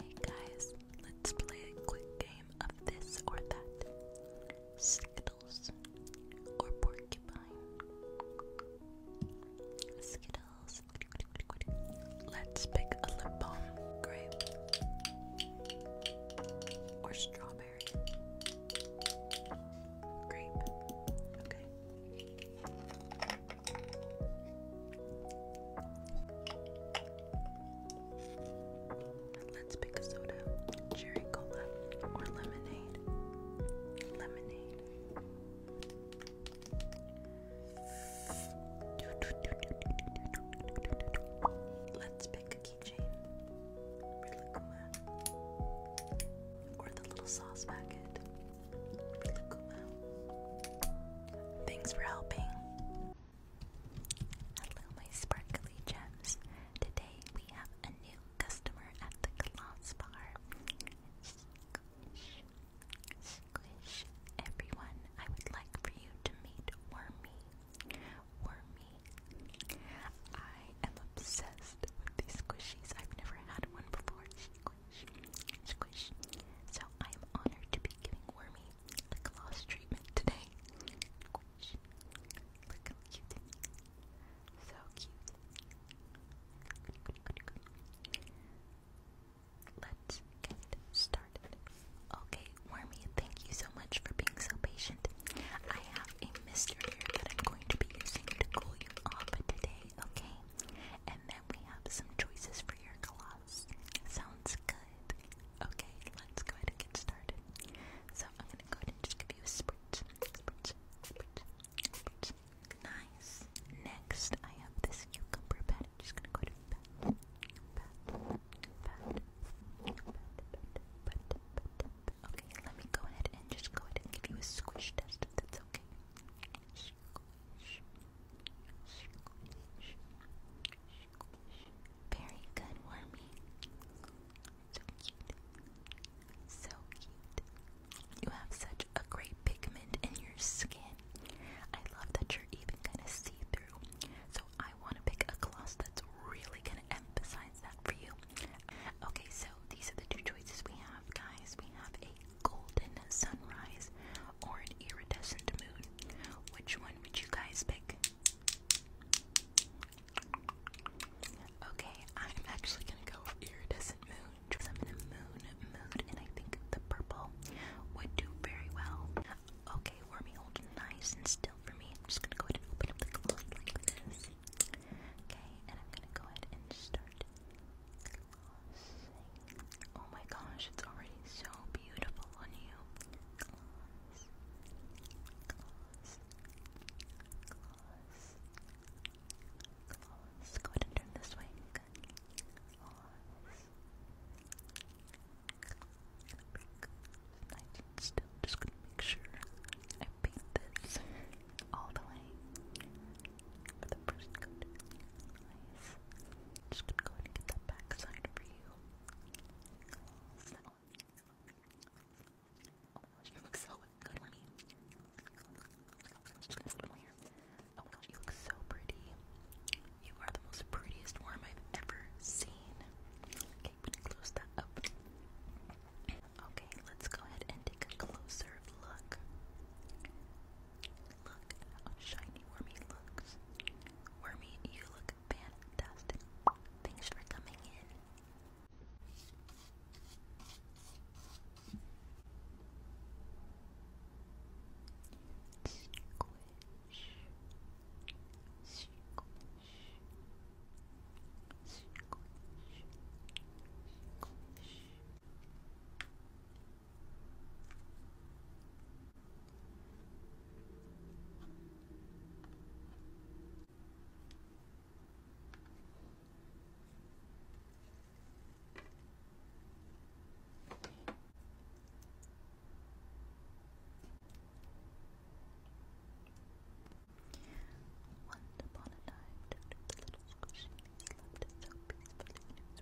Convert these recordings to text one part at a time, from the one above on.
Hey guys, let's play a quick game of this or that. Skittles or porcupine. Skittles. Let's pick a lip balm. Grape or strawberry. Grape. Okay. Let's pick a soda, cherry cola, or lemonade. Lemonade. Let's pick a keychain, or the little sauce packet. Thanks for helping. Hello, my sparkly gems. Today we have a new customer at the Gloss Bar. Squish, squish. Everyone, I would like for you to meet Wormy. Wormy. I am obsessed with these squishies. I've never had one before squish, So I am honored to be giving Wormy the gloss treatment today. cute. So cute. Let's get started. Okay, Wormy, thank you so much for being so patient. I have a mister that I'm going to be using to cool you off today, okay? And then we have some choices for your gloss sauce. Sounds good. Okay, let's go ahead and get started. So I'm gonna go ahead and just give you a spritz, Nice. Next, I have this cucumber pad. just gonna go ahead and Okay, let me go ahead and just go ahead and give you a squish test that's okay. Very good, Wormy. So cute. So cute. You have such a great pigment in your skin. I love that you're even gonna see through. So I wanna pick a gloss that's really gonna emphasize that for you. Okay, so these are the two choices we have, guys. We have a golden sunrise or an iridescent moon? Which one would you guys pick? Okay, I'm actually gonna go iridescent moon because I'm in a moon mood and I think the purple would do very well. Okay, Wormy, hold nice and still for me. I'm just gonna go ahead and open up the cloth like this. Okay, and I'm gonna go ahead and start Oh my gosh, it's already so beautiful on you. Gloss, gloss, Go ahead and turn this way. Just gonna make sure I paint this all the way for the first coat. Just gonna go ahead and get that back side over Oh my gosh, you look so good, Lemmy. I'm gonna Oh my gosh, you look so pretty. You are the most prettiest worm I've ever seen. Okay, we close up. Okay, let's go ahead and take a closer look. Look how shiny Wormy looks. Wormy, you look fantastic. Thanks for coming in. Once upon a time, the little squishy slept so peacefully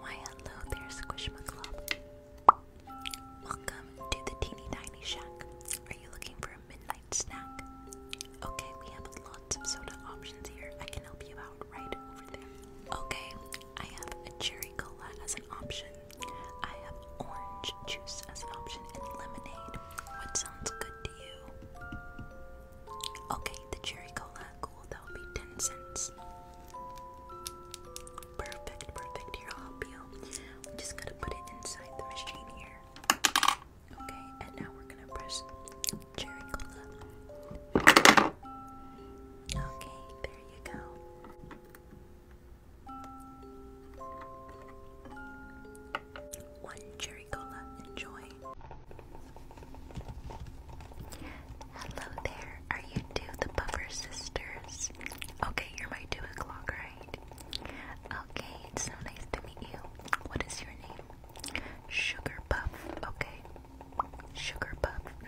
Why hello there, Squishma Welcome to the Teeny Tiny Shack. Are you looking for a midnight snack? Okay, we have lots of options here. I can help you Okay, I have a cherry cola as an option. I have orange juice as an option and lemonade. What sounds good to you? Okay, the cherry cola, cool, that will be 10 cents. Perfect, perfect. Here, I'll help you. We just going to put it inside the machine here. Okay, and now we're gonna press cherry cola. Okay, there you go. One cherry cola, enjoy. Hello there, are you two the Buffer Sisters? Okay, you're my two o'clock, right? Okay, it's so nice to meet you. What is your name? Sugar Puff, okay. Sugar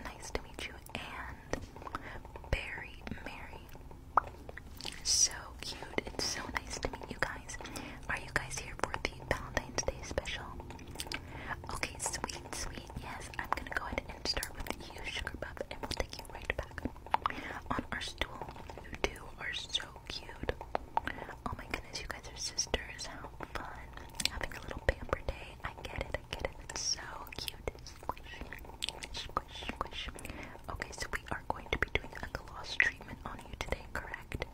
nice to meet you, and Barry Mary. So cute. It's so nice to meet you guys. Are you guys here for the Valentine's Day special? Okay, sweet, sweet. Yes, I'm gonna go ahead and start with you, Sugar Pup, and we'll take you right back on our stool. You two are so cute. Oh my goodness, you guys are sisters. How fun. Having a little pamper day. I get it, the So cute. Okay, so we are going to be doing a gloss treatment on you today, correct?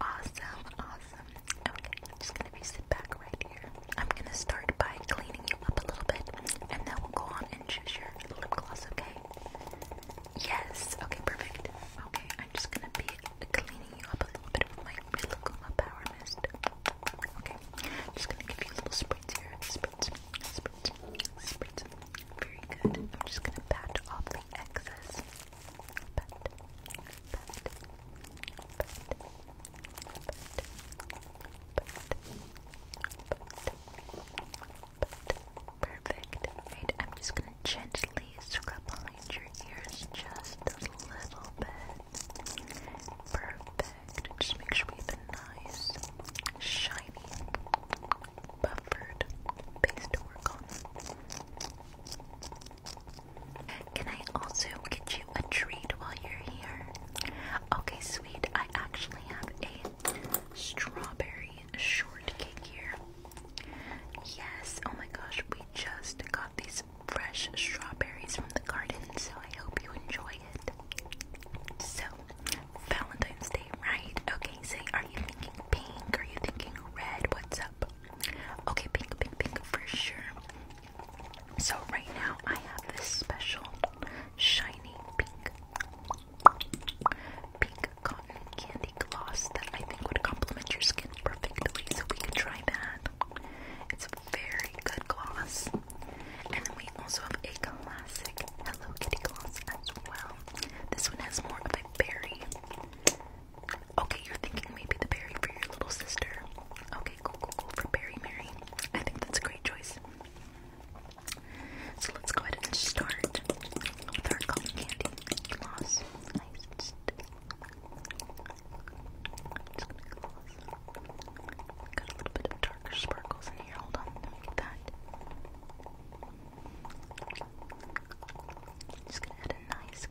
Awesome, awesome. Okay, I'm just gonna be sit back right here. I'm gonna start by cleaning you up a little bit, and then we'll go on and choose your lip gloss, okay? Yes, okay, perfect. Okay, I'm just gonna be cleaning you up a little bit with my really power mist. Okay, I'm just gonna give you little spritz here. Spritz, spritz, spritz. Very good. I'm just gonna pat off the excess. Perfect. Right, I'm just gonna gently scrub behind your ears just a little bit. Perfect. Just make sure we have a nice, shiny, buffered base to work on. Can I also get you a treat while you're here? Okay, sweet. I actually have a strawberry shortcake here. Yes, oh my gosh, we just got these fresh strawberries from the garden, so I hope you enjoy it. So, Valentine's Day, right? Okay, so are you thinking pink? Are you thinking red? What's up? Okay, pink, pink, pink for sure. So, right now I have this special shiny pink. Pink cotton candy gloss that I think would complement your skin perfectly, so we could try that very good gloss. And then we also have a classic Hello Kitty gloss as well. This one has more of a berry. Okay, you're thinking maybe the berry for your little sister. Okay, cool, cool, cool. For Berry Mary. I think that's a great choice. So let's go ahead and start with our cotton candy gloss. Got a little bit of darker sparkles in here. Hold on, let that. Just gonna add a nice.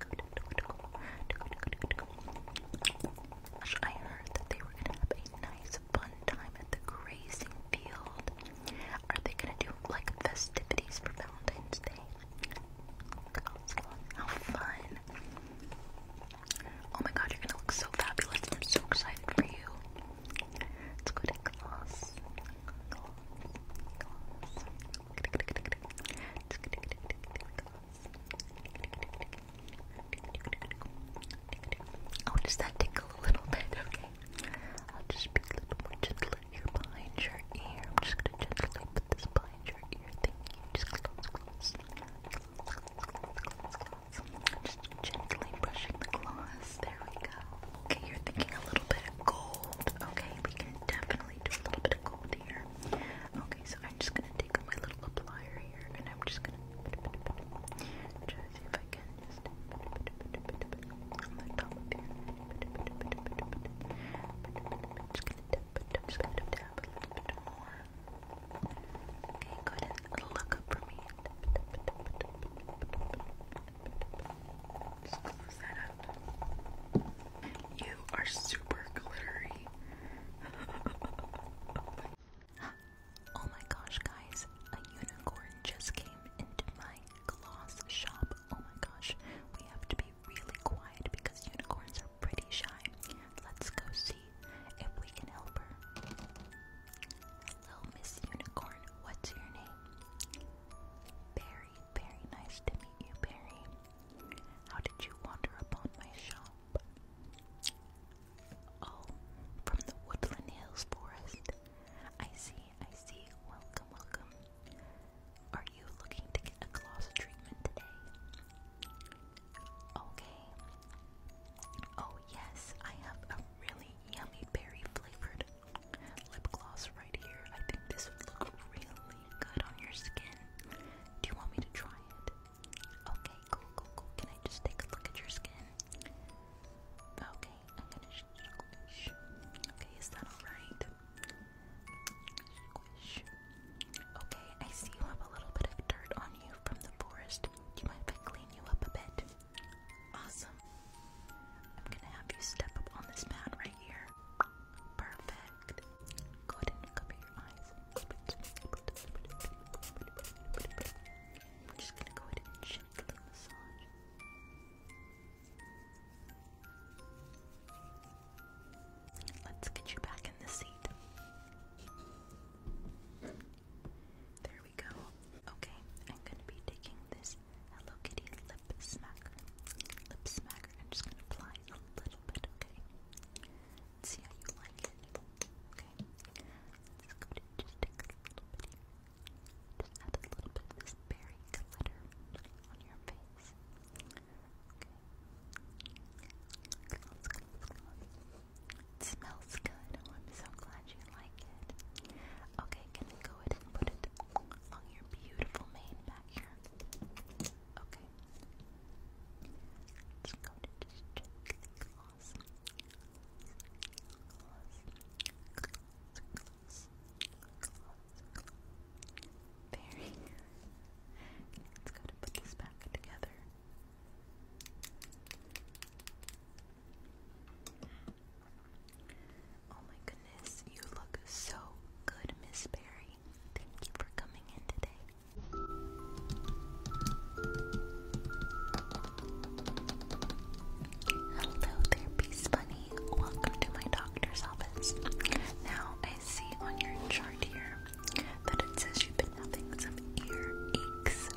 I heard that they were gonna have a nice, fun time at the grazing field. Are they gonna do like festivities for Valentine's Day? How fun! Oh my god, you're gonna look so fabulous. I'm so excited for you. Let's go to gloss. Gloss. Oh, does that tickle a little bit? Okay. I'll just be a little more gentle behind your ear. I'm just gonna gently put this behind your ear. Just gently brushing the gloss. There we go. Okay, you're thinking a little bit of gold. Okay, we can definitely do a little bit of gold here. Okay, so I'm just gonna take my little applier here and I'm just gonna see if I can just gonna dab a little bit more. Okay, go ahead and look up for me. You are super glittery. oh my gosh, guys, a unicorn just came into my gloss shop. Oh my gosh, we have to be really quiet because unicorns are pretty shine. Let's go see if we can help her. Hello, Miss Unicorn. What's your name? Barry. Very nice to meet you, Barry. How did you wander upon my shop? Oh, from the Woodland Hills Forest. I see, I see. Welcome, welcome. Are you looking to get a gloss treatment today? Okay. Oh, yes, I have a really yummy berry flavored lip gloss right here. I think this would look really good on your skin. Do you want me to try it? Okay, cool, cool, cool. Can I just take a look at your skin? Okay, Okay, is that alright? Okay, I see you have a little bit of dirt on you from the forest. Do you mind if I clean you up a bit? Awesome. I'm gonna have you step up on this mat right here. Perfect. Go ahead and cover your eyes. We're just gonna go ahead and gently massage. Let's get you back in the seat. There we go. Okay, I'm gonna be taking this Hello Kitty lip smacker. Lip smacker. I'm just gonna apply a little bit, okay? see how you like it. Okay. just take a little bit here. Just add a little bit of this berry glitter on your face. Okay. It smells good. Oh, I'm so glad you like it. Okay, can we go ahead and put it on your beautiful mane back here? Okay. Let's go Very Let's go to put this back together. Oh my goodness, you look so good, Miss Barry. Thank you for coming in today. Hello there, Peace Bunny. Welcome to my doctor's office. Now, I see on your chart here then it says you've been having some ear aches,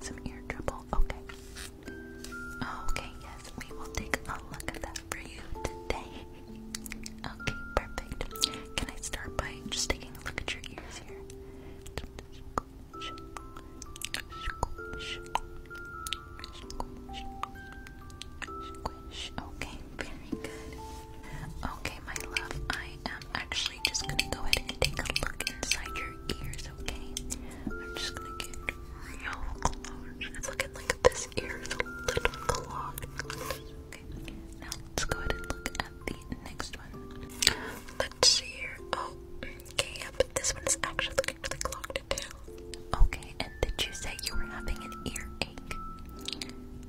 some ear trouble. Okay. Okay, yes, we will take a look at that for you today. Okay, perfect. Can I start by just taking a look at your ears here? Okay, very good. Okay, my love, I am actually just gonna go ahead and take a look inside your ears, okay? I'm just gonna get real close. It's looking like this ear is a little clogged. Okay, now let's go ahead and look at the next one. Let's see here. Oh, okay, yeah, but this one is actually looking really clogged too. Okay, and did you say you were having an earache?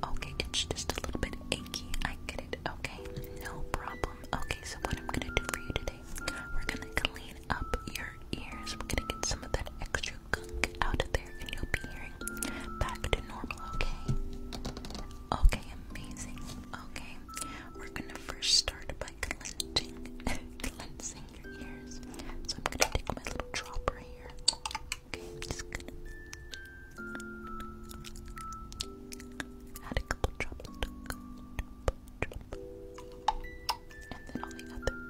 Okay, it's just a little bit achy. I get it. Okay. Okay, problem. Okay, so what I'm gonna do for you today, we're gonna clean up your ears. We're gonna get some of that extra gunk out of there, and you'll be hearing back to normal. Okay. Okay, amazing. Okay, we're gonna first start by cleansing, cleansing your ears. So I'm gonna take my little dropper here. Okay, i just gonna. Add a couple drops, drop, drop, drop. and then on the other drop.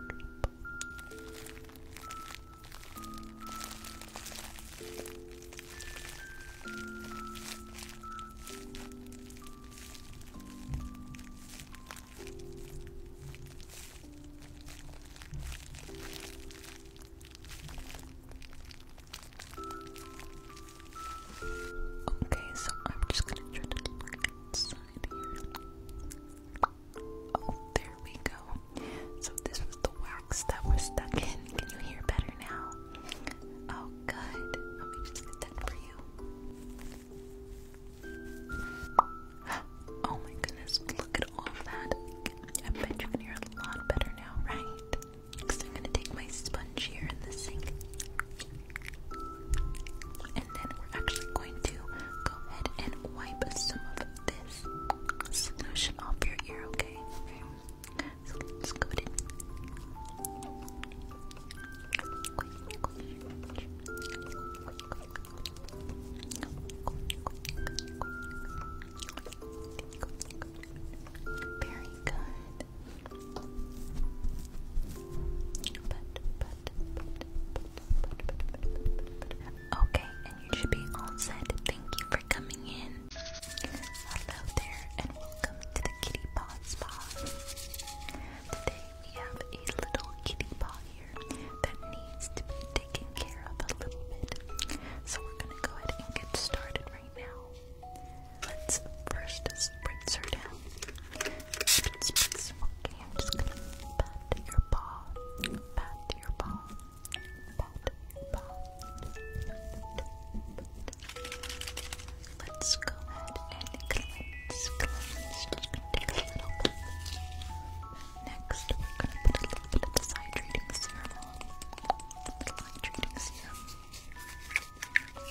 Okay, so I'm just gonna try to look inside here. Oh, there we go. So this was the wax that was stuck in. Can you hear better now? Oh, good. Let me just get that for you. Oh my goodness, look at all of that. I bet you can hear a lot better now, right? Next, I'm gonna take my sponge here in the sink, and then we're actually going to go ahead and wipe some of this solution off your ear. Okay. okay. So let's go ahead. Very good. But, but, but, but, but, but, but. Okay, and you should be all set. Thank you for coming in. Hello there, and welcome to the Kitty Paw Spa. Today we have a little kitty paw here that needs to be taken care of a little bit. So we're gonna go ahead and get started right now. Let's first spritz her down. Okay, I'm just gonna pat your paw. Pat your paw. Pat paw. Let's go ahead and cleanse, Just gonna take a little bit. Next, we're gonna put a little bit of this hydrating serum on. A little hydrating serum. And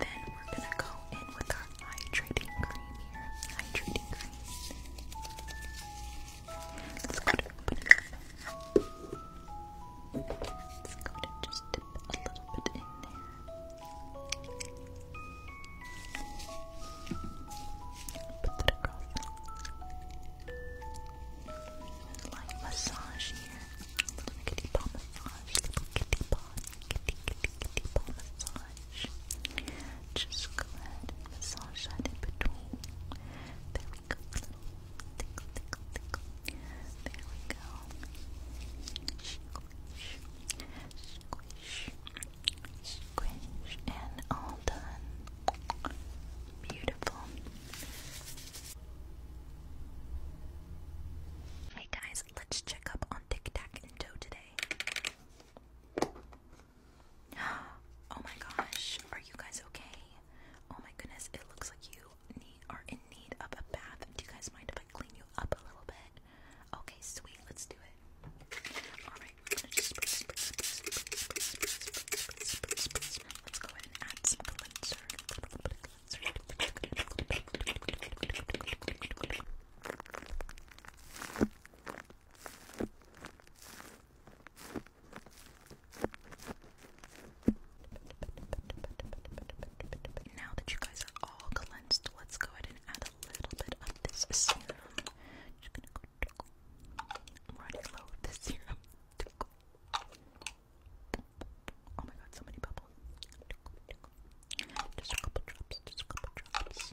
then we're gonna go in with our hydrating cream here. Hydrating cream. Let's go to just a little bit in there. Put that across. Light massage here. Little kitty massage. Little kitty paw. Kitty, kitty, kitty massage. Just go ahead and massage that in between. There we go. There we go. Squish, squish, squish, and all done. Beautiful. Hey guys, let's check up on Tic Tac and Toe today. Oh my gosh, are you guys okay? Oh my goodness, it looks like you need are in need of a bath. Do you guys mind if I clean you up a little bit? Okay, sweet. Let's do it. alright Let's go ahead and add some cleanser. Now that you guys are all cleansed, let's go ahead and add a little bit of this serum. running low with this serum. Oh my god, so many bubbles. Just a couple drops, just a couple drops.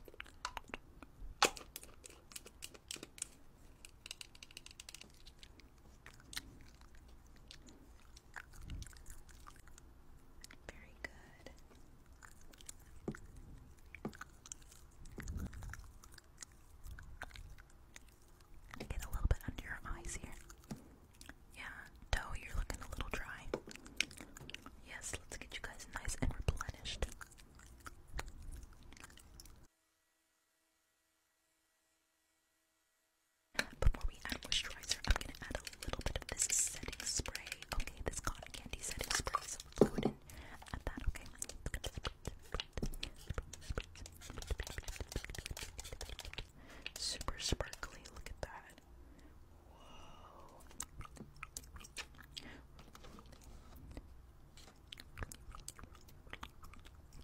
Very good. Get a little bit under your eyes here. Yeah, toe, you're looking a little dry. Yes, let's get you guys nice and replenished. Before we add moisturizer, I'm gonna add a little bit of this setting spray. Okay, this cotton candy setting spray. So let's go ahead that. Okay. Super sparkly. Look at that.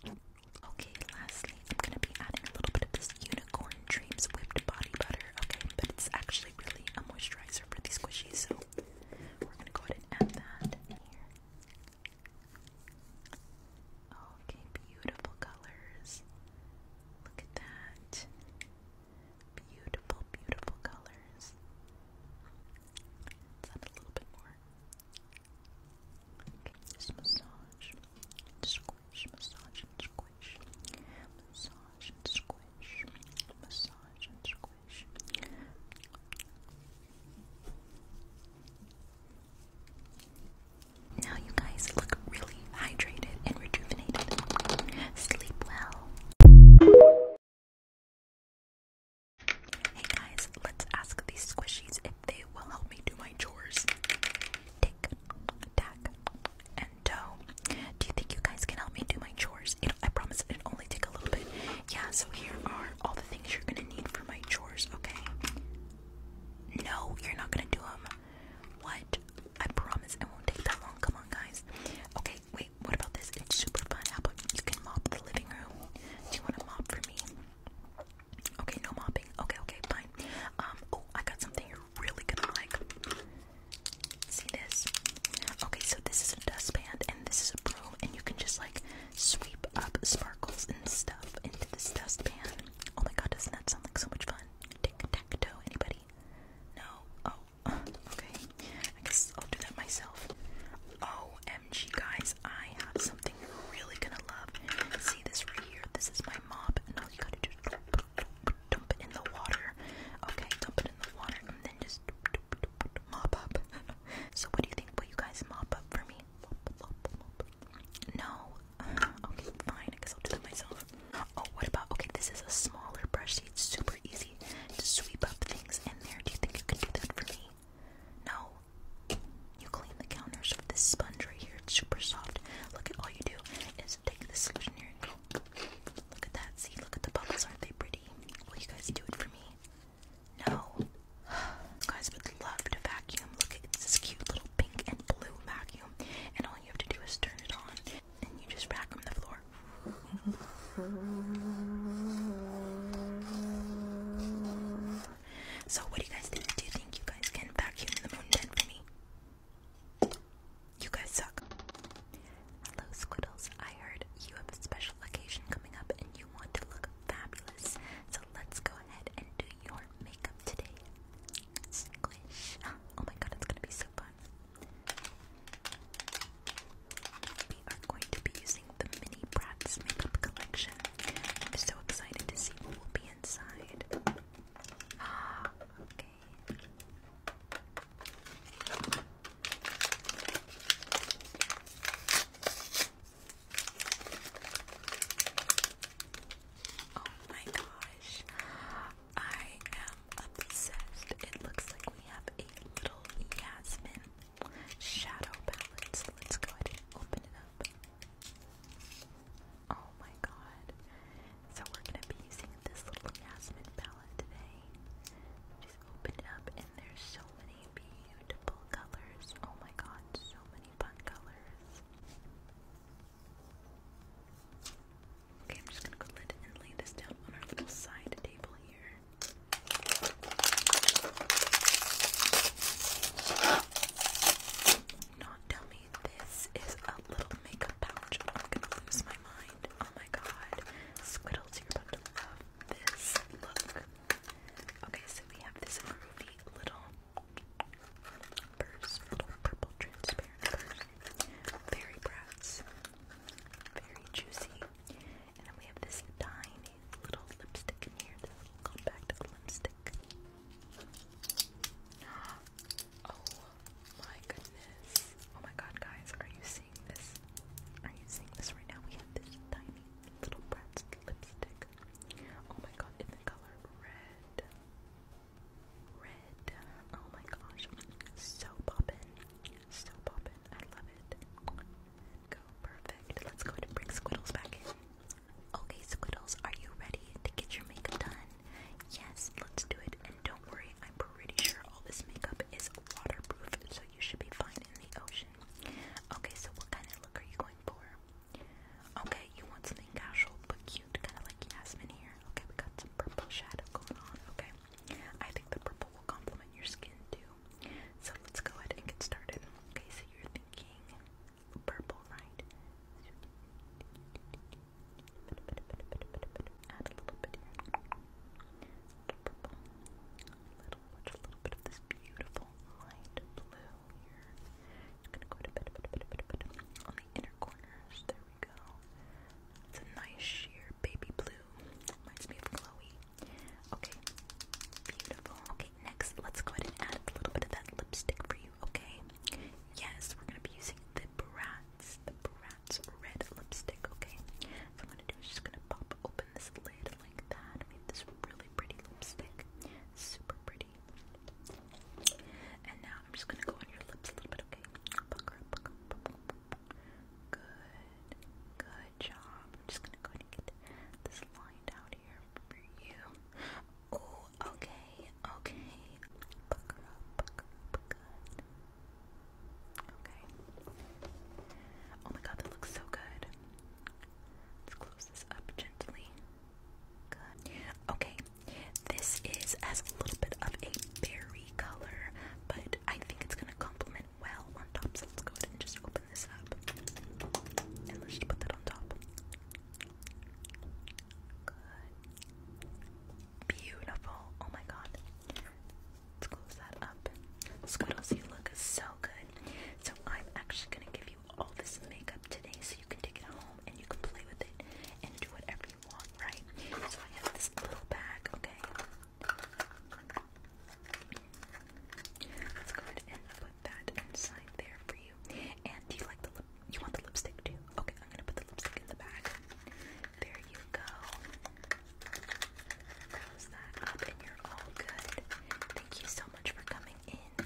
Whoa. Okay, lastly, I'm gonna be adding a little bit of this Unicorn Dreams Whipped Body Butter, okay? But it's actually really a moisturizer for these squishies, so we're gonna go ahead and add that here. Okay, beautiful colors. Look at that. Beautiful, beautiful colors. add a little bit more. Okay, just massage massage, and squish, massage and squish, massage and squish. Now you guys look really hydrated and rejuvenated. Sleep well. Hey guys, let's ask these squishies if they will help me do my chores tick, tack, and toe. Do you think you guys can help me do my chores? I promise it only take a little bit. Yeah, so here are all the things you're gonna need for my chores, okay? No, you're not gonna do them. What? I promise it won't take that long. Come on, guys. Okay, wait, what about this? It's super fun. How about you can mop the living room? Do you want to mop for me? Okay, no mopping. Okay, okay, fine. Um, oh, I got something you're really gonna like. See this? Okay, so this is a dustpan and this is a broom, and you can just like sweep up sparkles and stuff into this dustpan. Oh my god, doesn't that sound like so much fun? Tic tac toe, anybody? No? Oh, okay. I guess I'll do that myself. OMG, oh, guys, I have something you're really gonna love. See this right here? This is my mop. And all you gotta do dump it in the water. Okay, dump it in the water and then just mop up. so, what do you think? Will you guys mop up for me? No? Okay, fine. I guess I'll do that myself. Oh, what about? Okay, this is a smaller brush. See, it's super easy to sweep up things in there. Do you think you can do that for me? No? You clean the counters with this sponge right here. It's super soft Look at all you do is take this solution here and go. Look at that. See, look at the bubbles. Aren't they pretty? Will you guys do it for me? No. guys would love to vacuum. Look at it's this cute little pink and blue vacuum. And all you have to do is turn it on and you just vacuum the floor. So what do you guys think? Do you think you guys can vacuum the moon den for me? You guys suck. Hello, Squiddles. I heard you have a special occasion coming up and you want to look fabulous. So let's go ahead and do your makeup today. Squish. Oh my god, it's gonna be so fun. We are going to be using the Mini Bratz makeup collection. I'm so excited to see what will be inside okay. Oh my gosh. I am obsessed. It looks like we have a little Yasmin shadow palette. So let's go ahead and open it up. Oh my god. So we're gonna be using this little Jasmine palette today. Just open up and there's so many beautiful colors. Oh my god, so many fun colors. Okay, I'm just gonna go ahead and lay this down on our little side table here. Not dummy this is a little makeup pouch. I'm gonna lose my mind. Oh my god. Squiddles, you love this look. Okay, so we have this groovy little purse, little purple transparent purse. Very brats. Very juicy. And then we have this tiny little lipstick in here, this little compact lipstick. Oh my goodness. Oh my god, guys, are you seeing this? Are you seeing this right now? We have this tiny little brat's lipstick. Oh my god, in the color red. Red. Oh my gosh. So poppin'. So poppin'. I love it. Go perfect. Let's go and bring Squiddles back in. Okay, Squiddles, are you ready to get your makeup done? Yes, let's do it. And don't worry, I'm pretty sure all this makeup is waterproof, so you should be fine in the ocean. Okay, so what kind of look are you going for? Okay, you want something casual but cute, kind of like Yasmin here. Okay, we got some purple shadow going on. Okay, I think the purple will complement your skin too. So let's go ahead and get started. Okay, so you're thinking purple, right? Add a little bit here. A little purple. A little, watch a little bit of this beautiful light blue here. It's gonna go to bit, bit, bit, bit, bit, on the inner corners. There we go. It's a nice sheer baby blue. Reminds me of Chloe. Okay, beautiful. Okay, next let's go ahead and add a little bit of that lipstick for you okay? Yes, we're gonna be using the Bratz, the Bratz red lipstick, okay? So I'm gonna do is just gonna pop open this lid like that. I made this really pretty lipstick, super pretty. And now I'm just gonna go on your lips a little bit, okay? Good, good job. I'm just gonna go and get this line down here for you. Oh, okay, okay. Oh my god, that looks so good. Let's close this up gently. Good. Okay, this is as a little bit of a berry color, but I think it's gonna complement well on top, so let's go ahead and just open this up. And let's just put that on top. Good. Beautiful. Oh my god. Let's close that up. Squiddles, you look so good. So I'm actually gonna give you all this makeup today so you can take it home and you can play with it and do whatever you want, right? So I have this little bag, okay? Let's go ahead and put that inside there for you. And do you like the lip you want the lipstick too? Okay, I'm gonna put the lipstick in the bag. There you go. Close that up, and you're all good. Thank you so much for coming in.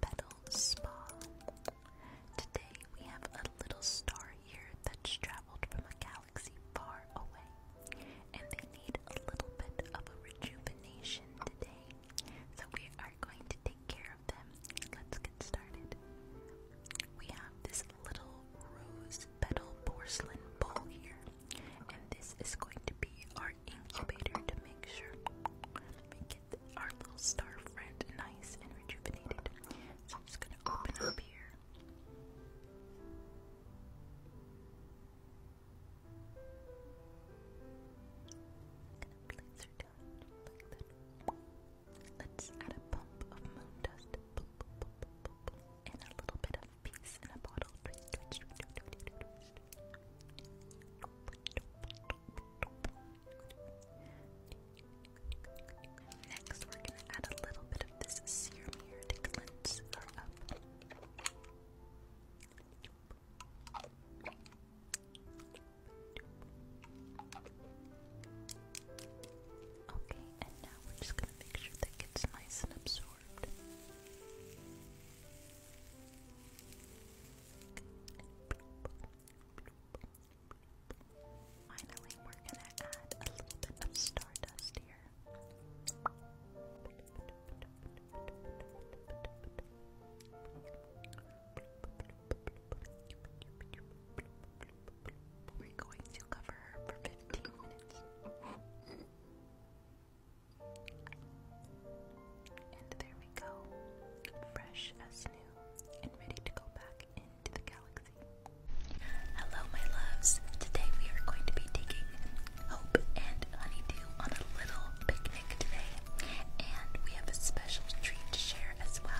Petal Spa. Today we have a little star here that's traveled from a galaxy far away, and they need a little bit of a rejuvenation today. So we are going to take care of them. Let's get started. We have this little rose petal porcelain bowl here, and this is going to be our incubator to make sure our little star friend nice and rejuvenated. So I'm just gonna open up here. gonna place her down like that. Let's add a pump of moon dust and a little bit of peace in a bottle. Next, we're going to add a little bit of this serum here to cleanse her up. Okay, and now we're just going to make sure that gets nice and absorbed. Finally, we're gonna add a little bit of stardust here. We're going to cover her for 15 minutes. And there we go. Fresh as new and Hello, my loves. Today we are going to be taking Hope and Honeydew on a little picnic today, and we have a special treat to share as well.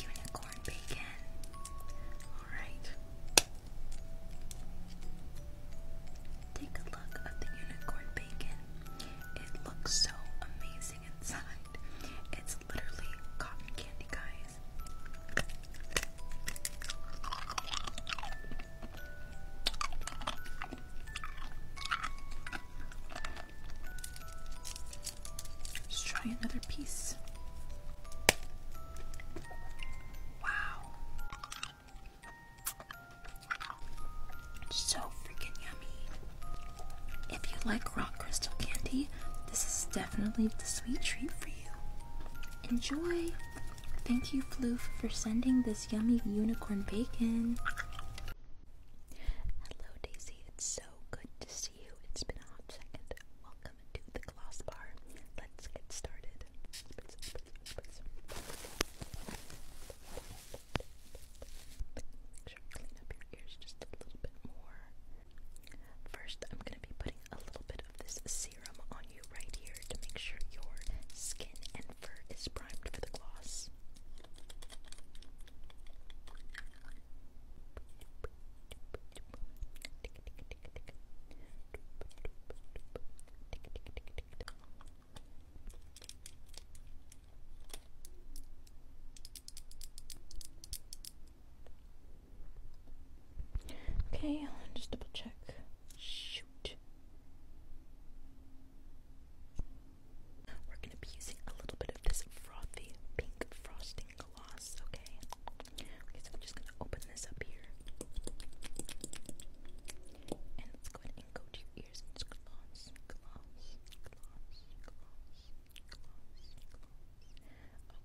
Unicorn bacon. All right. Take a look at the unicorn bacon. It looks so amazing it's literally cotton candy, guys. Let's try another piece. Wow. So freaking yummy. If you like rock crystal candy, this is definitely the sweet treat for you. Enjoy! Thank you, Floof, for sending this yummy unicorn bacon. Hello, Daisy. It's so good to see you. It's been a hot second. Welcome to the gloss bar. Let's get started. Make sure clean up your ears just a little bit more. First, I'm going to be putting a little bit of this serum on you right here to make sure your skin and fur is primed for the gloss. Okay, just double check. Shoot. We're going to be using a little bit of this frothy pink frosting gloss, okay? so I'm just going to open this up here. And let's go ahead and go to ears and gloss, gloss, gloss,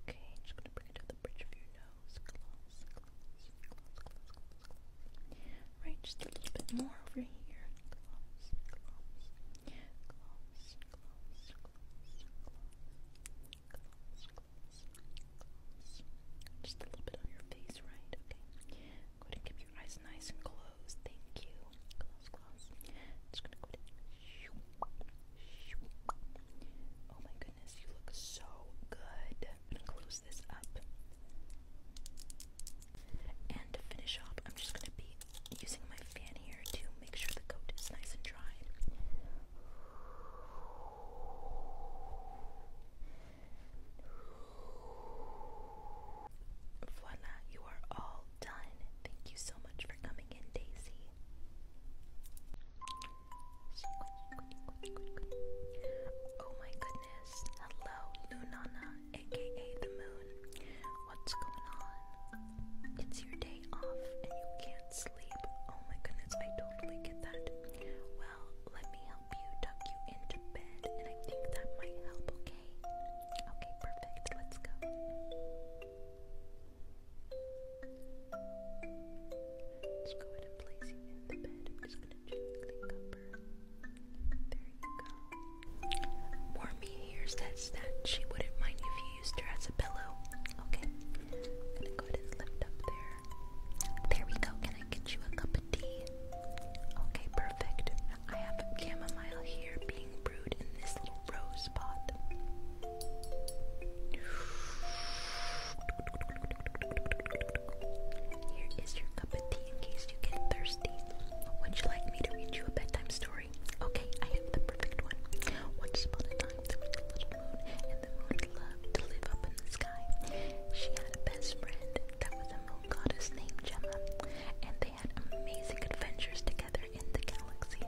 Okay, just gonna bring it to the bridge of your nose. Right, just a little bit more over here. Gloss, gloss, Just a little bit on your face, right? Okay eyes nice and closed. Thank you. Oh my goodness, you look so good. I'm gonna close this up. And to finish off, I'm just gonna be using my fan here to make sure the coat is nice and dry. Voila, you are all done. Thank you so much for coming in, Daisy. Oh my goodness. Hello, Lunana, aka the moon. What's going on? It's your day off and you can't sleep. Oh my goodness, I totally get that. Well, let me help you tuck you into bed, and I think that might help, okay? Okay, perfect. Let's go. Let's go ahead and place you in the bed. just gonna gently cover. There you go. Warmy here that she wouldn't mind if you used her as a pillow. Okay. gonna go ahead and lift up there. There we go. Can I get you a cup of tea? Okay, perfect. I have chamomile here being brewed in this little rose pot. Here is your cup of tea in case you get thirsty. Would you like me to read you a bedtime story? Okay, I have the perfect one. Once upon a time, there was a little moon, and the moon loved to live up in the sky. She had a best friend that was a moon goddess named Gemma, and they had amazing adventures together in the galaxy.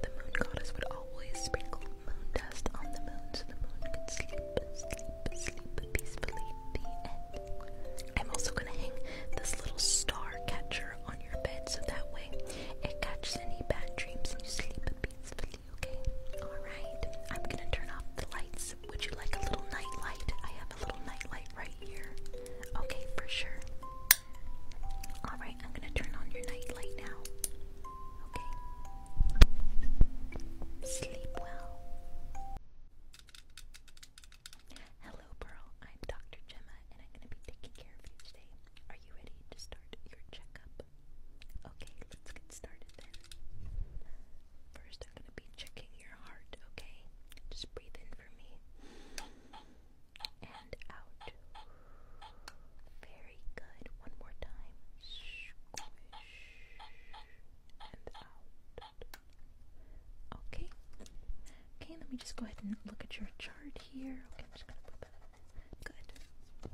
The moon goddess would always sprinkle moon dust on the moon so the moon could sleep, sleep, sleep peacefully. I'm also gonna hang this little star catcher on your bed so that way it catches any bad dreams and you sleep peacefully, okay? Alright, I'm gonna turn off the lights. Would you like a little night light? I have a little night light right Okay, for sure. Alright, I'm gonna turn on your night now. Okay. Sleep well. Hello, Pearl. I'm Dr. Gemma, and I'm gonna be taking care of you today. Are you ready to start your checkup? Okay, let's get started then. First, I'm gonna be checking your heart, okay? Just breathe in for me and out. Very good. One more time. and out. Okay. Okay, let me just go ahead and look at your chart here. Okay, I'm just gonna put that. Good.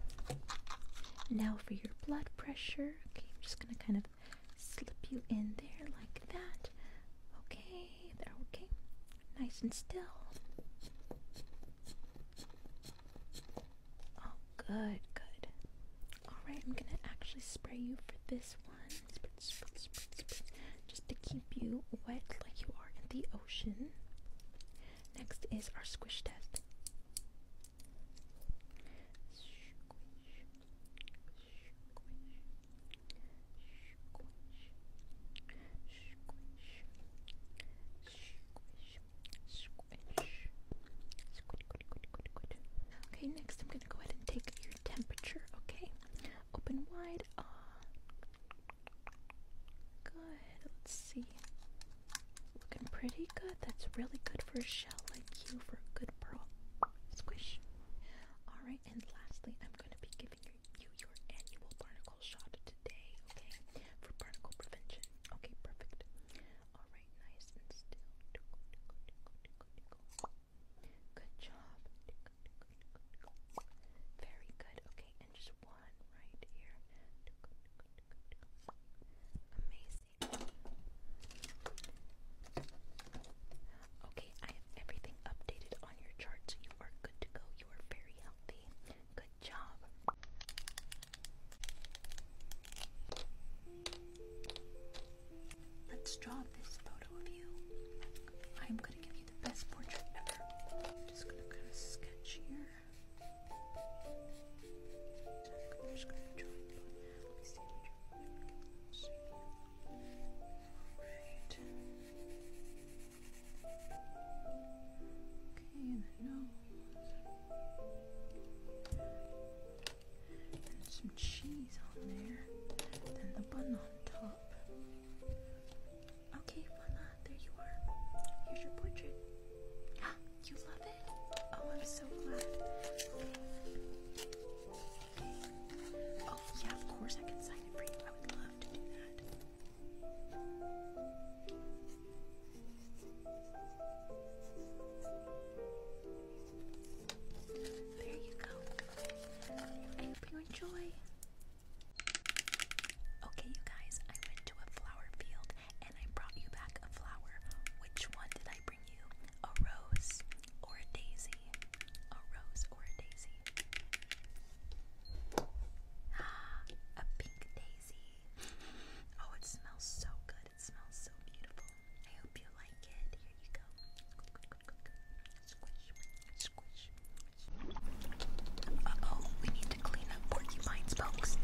Now for your blood pressure. Okay, I'm just gonna kind of slip you in there like that. Okay, they okay. Nice and still. Oh, good, good. Alright, I'm gonna actually spray you for this one. Just to keep you wet like you are in the ocean. Next is our squish test. Okay, next I'm going to go ahead and take your temperature, okay? Open wide. Uh, good. Let's see. Looking pretty good. That's really good for a shell like you, for a good pearl. Squish. Alright, and lastly, I'm going to be giving you you your annual barnacle shot today, okay? For barnacle prevention. Okay, perfect. Alright, nice and still. Good job. Very good. Okay, and just one right here. Amazing. Okay, I have everything updated on your charts. You are good to go. You are very healthy. Good job. Let's draw this photo of you. I'm going to give you the best portrait ever. just going to kind of sketch here. Alright. Okay, the nose. And some cheese on there. Then the bun on top. Okay, voila, there you are. Here's your portrait. you love it? Oh, I'm so glad. Okay. Okay. Oh, yeah, of course I can sign it for you. I would love to do that. There you go. I hope you enjoy. Okay, you guys, I went to a flower field and I brought you back a flower. Which one did I bring you? A rose or a daisy? A rose or a daisy? A pink daisy. Oh, it smells so good. It smells so beautiful. I hope you like it. Here you go. Squish, squish. Uh oh, we need to clean up porcupine's spokes.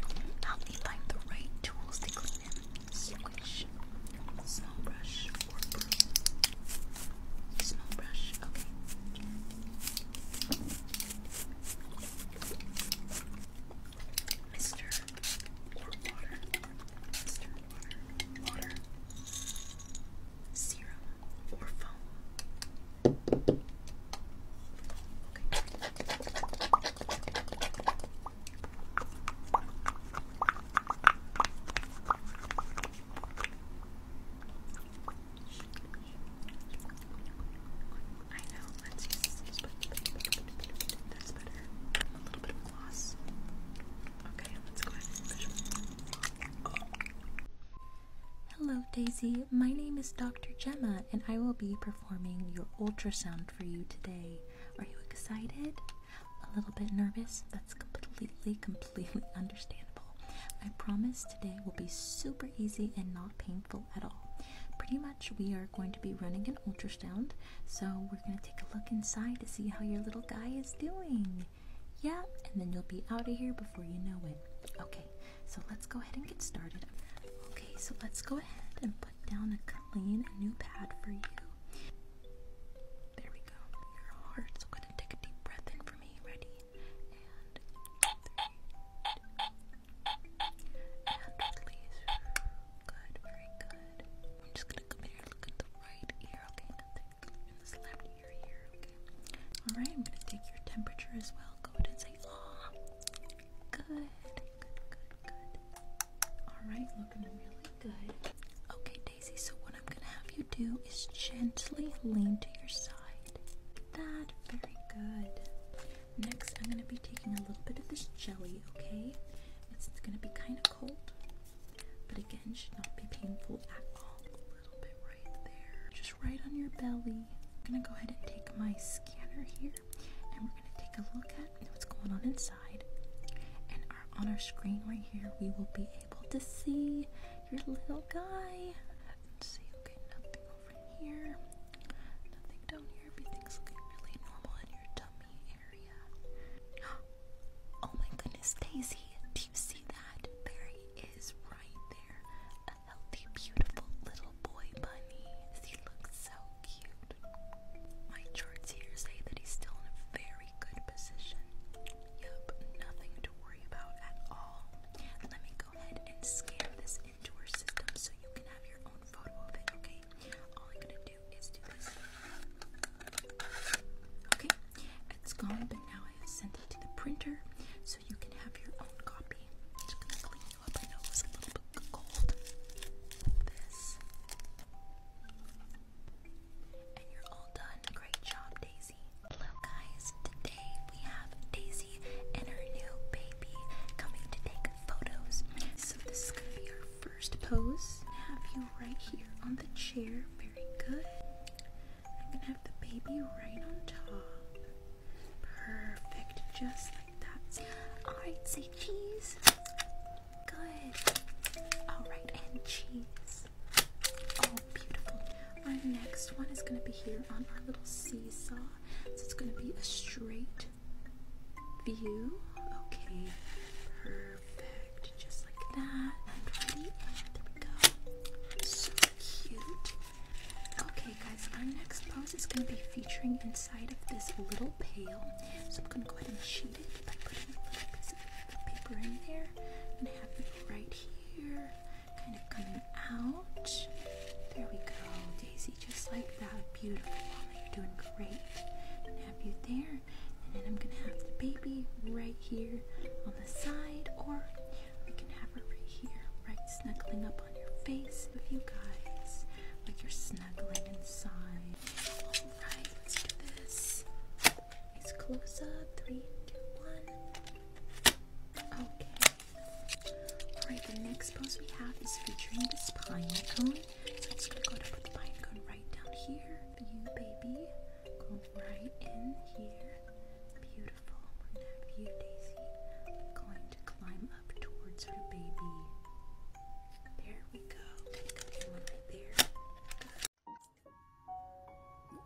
Help me find the right tools to clean them. Small brush Small brush, okay. Mister or water, Mister water, water, serum or foam. Okay. Hello, Daisy. My name is Dr. Gemma, and I will be performing your ultrasound for you today. Are you excited? A little bit nervous? That's completely, completely. understandable. I promise today will be super easy and not painful at all. Pretty much, we are going to be running an ultrasound, so we're going to take a look inside to see how your little guy is doing. Yeah, and then you'll be out of here before you know it. Okay, so let's go ahead and get started. Okay, so let's go ahead and put down a clean new pad for you. There we go. Your heart's going to take a deep breath in for me. Ready? And release. Good, very good. I'm just gonna come look at the right ear, okay? i in this left ear here, okay? Alright, I'm gonna take your temperature as well. Go ahead and say, ah, good, good, good, good. Alright, looking really good. Okay, Daisy, so what I'm gonna have you do is gently lean to your side that. Very good. Next, I'm going to be taking a little bit of this jelly, okay? It's going to be kind of cold, but again, should not be painful at all. A little bit right there, just right on your belly. I'm going to go ahead and take my scanner here, and we're going to take a look at what's going on inside. And on our screen right here, we will be able to see your little guy and looking really normal in your tummy area. Oh my goodness, Daisy, do you see that? There right there, a healthy, beautiful little boy bunny. He looks so cute. My charts here say that he's still in a very good position. Yep, nothing to worry about at all. Let me and scan this into our system so you can have your own photo okay? it's gone, but now I have sent it to the printer so you can have your own copy. just gonna clean you up. I know it a little bit cold. Pull this. And you're all done. Great job, Daisy. Hello guys, today we have Daisy and her new baby coming to take photos. So this is gonna be our first pose. I have you right here on the chair, very good. I'm gonna have the baby right on top. Perfect, just like that. Alright, say cheese. Good. Alright, and cheese. Oh, beautiful. Our next one is going to be here on our little seesaw. So it's going to be a straight view. Okay, perfect. Just like that. And ready? There we go. So cute. Okay, guys, our next pose is going to be featuring inside of this little pail. So I'm going to go ahead and cheat it by putting a little piece of paper in there. And have it right here kind of coming out. There we go, Daisy, just like that. Beautiful, Mama, you're doing great. i have you there, and then I'm gonna have the baby right here on the side, or we can have her right here, right snuggling up on your face with you guys, like you're snuggling inside. All right, let's do this. It's close up, three, two, one. Okay, Alright, the next pose we have is featuring this pine cone. So i gonna go ahead put the pine right down here you, baby. Go right in here. Beautiful. have you, Daisy. going to climb up towards her baby. There we go. right there.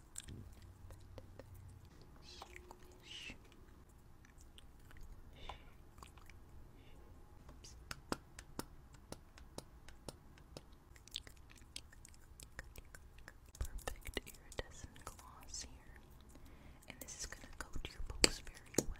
Perfect iridescent gloss here, and this is going to coat your books very well.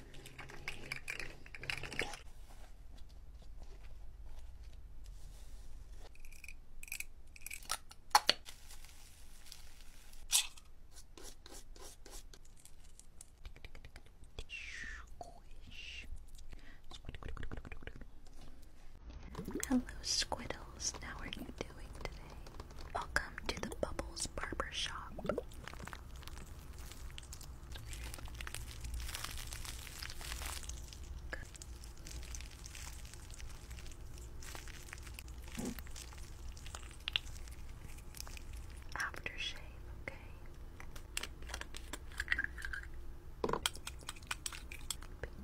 Hello, Squiddles. How are you doing today? Welcome to the Bubbles Barber Shop. Aftershave, okay.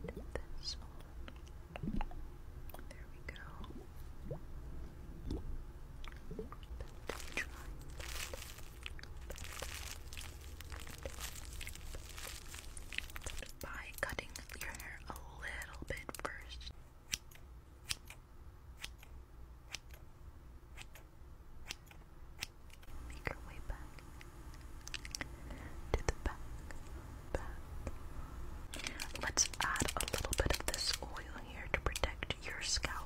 Paint this on. There we go. But try by cutting your hair a little bit first. Make your way back to the back, back. Let's add a little bit of this oil here to protect your scalp.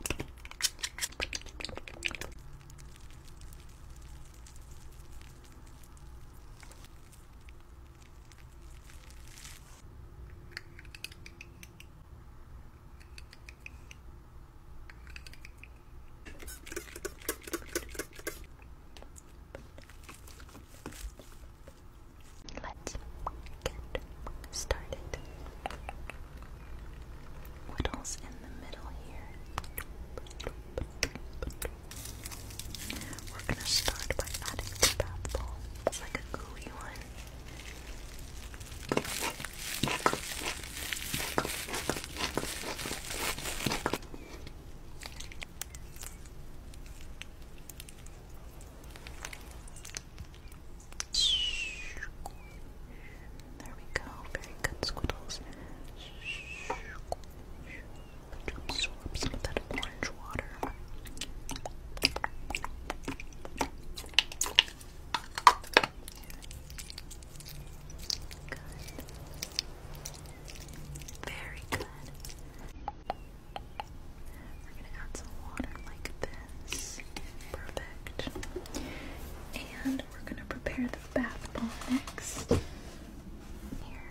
Let's get started. Whittles in the middle here. We're gonna start by adding the bath ball. It's like a gooey one. There we go. Very good, Squiddles. To absorb some of orange water. Very good. We're going to add some water like this. Yes. Perfect. And we're gonna prepare the bath ball next. Here.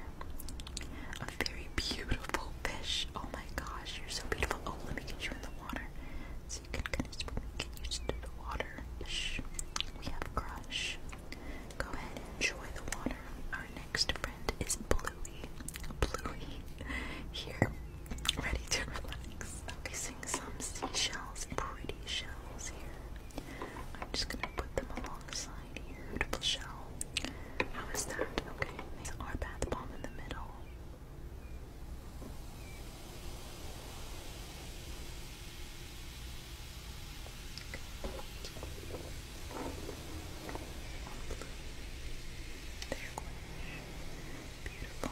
A very beautiful fish. Oh my gosh, you're so beautiful. Oh, let me get you in the water. So you can kind of get used to the water. Shh. We have crush. Go ahead and enjoy the water. Our next friend is Bluey. Bluey. Here, ready to relax. I'm placing some seashells, pretty shells here. I'm just gonna put them alongside here. Beautiful shell. How is that? Okay, these bath bomb in the middle. There, beautiful.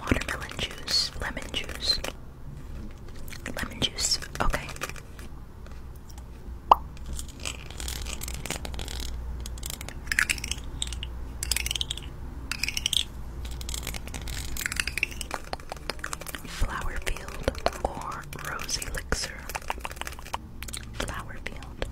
Watermelon juice, lemon juice, lemon juice, okay. Flower Field or Rose Elixir. Flower Field.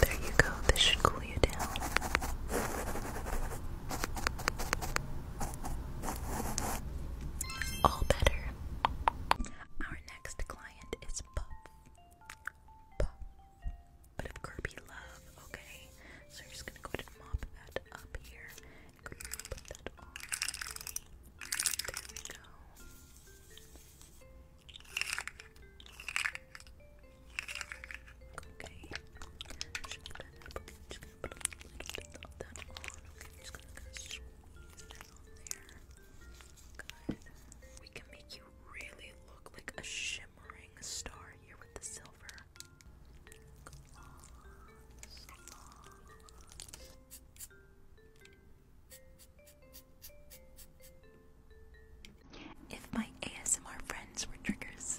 There you go, this should cool you down. All better next client is Puff. But of Kirby Love, okay? So we're just gonna go ahead and mop that up here. Put that on. There we go. Okay. Just gonna put that on. just gonna, going that on there. We can make you really look like a shimmering star here with the silver. If my ASMR friends were triggers.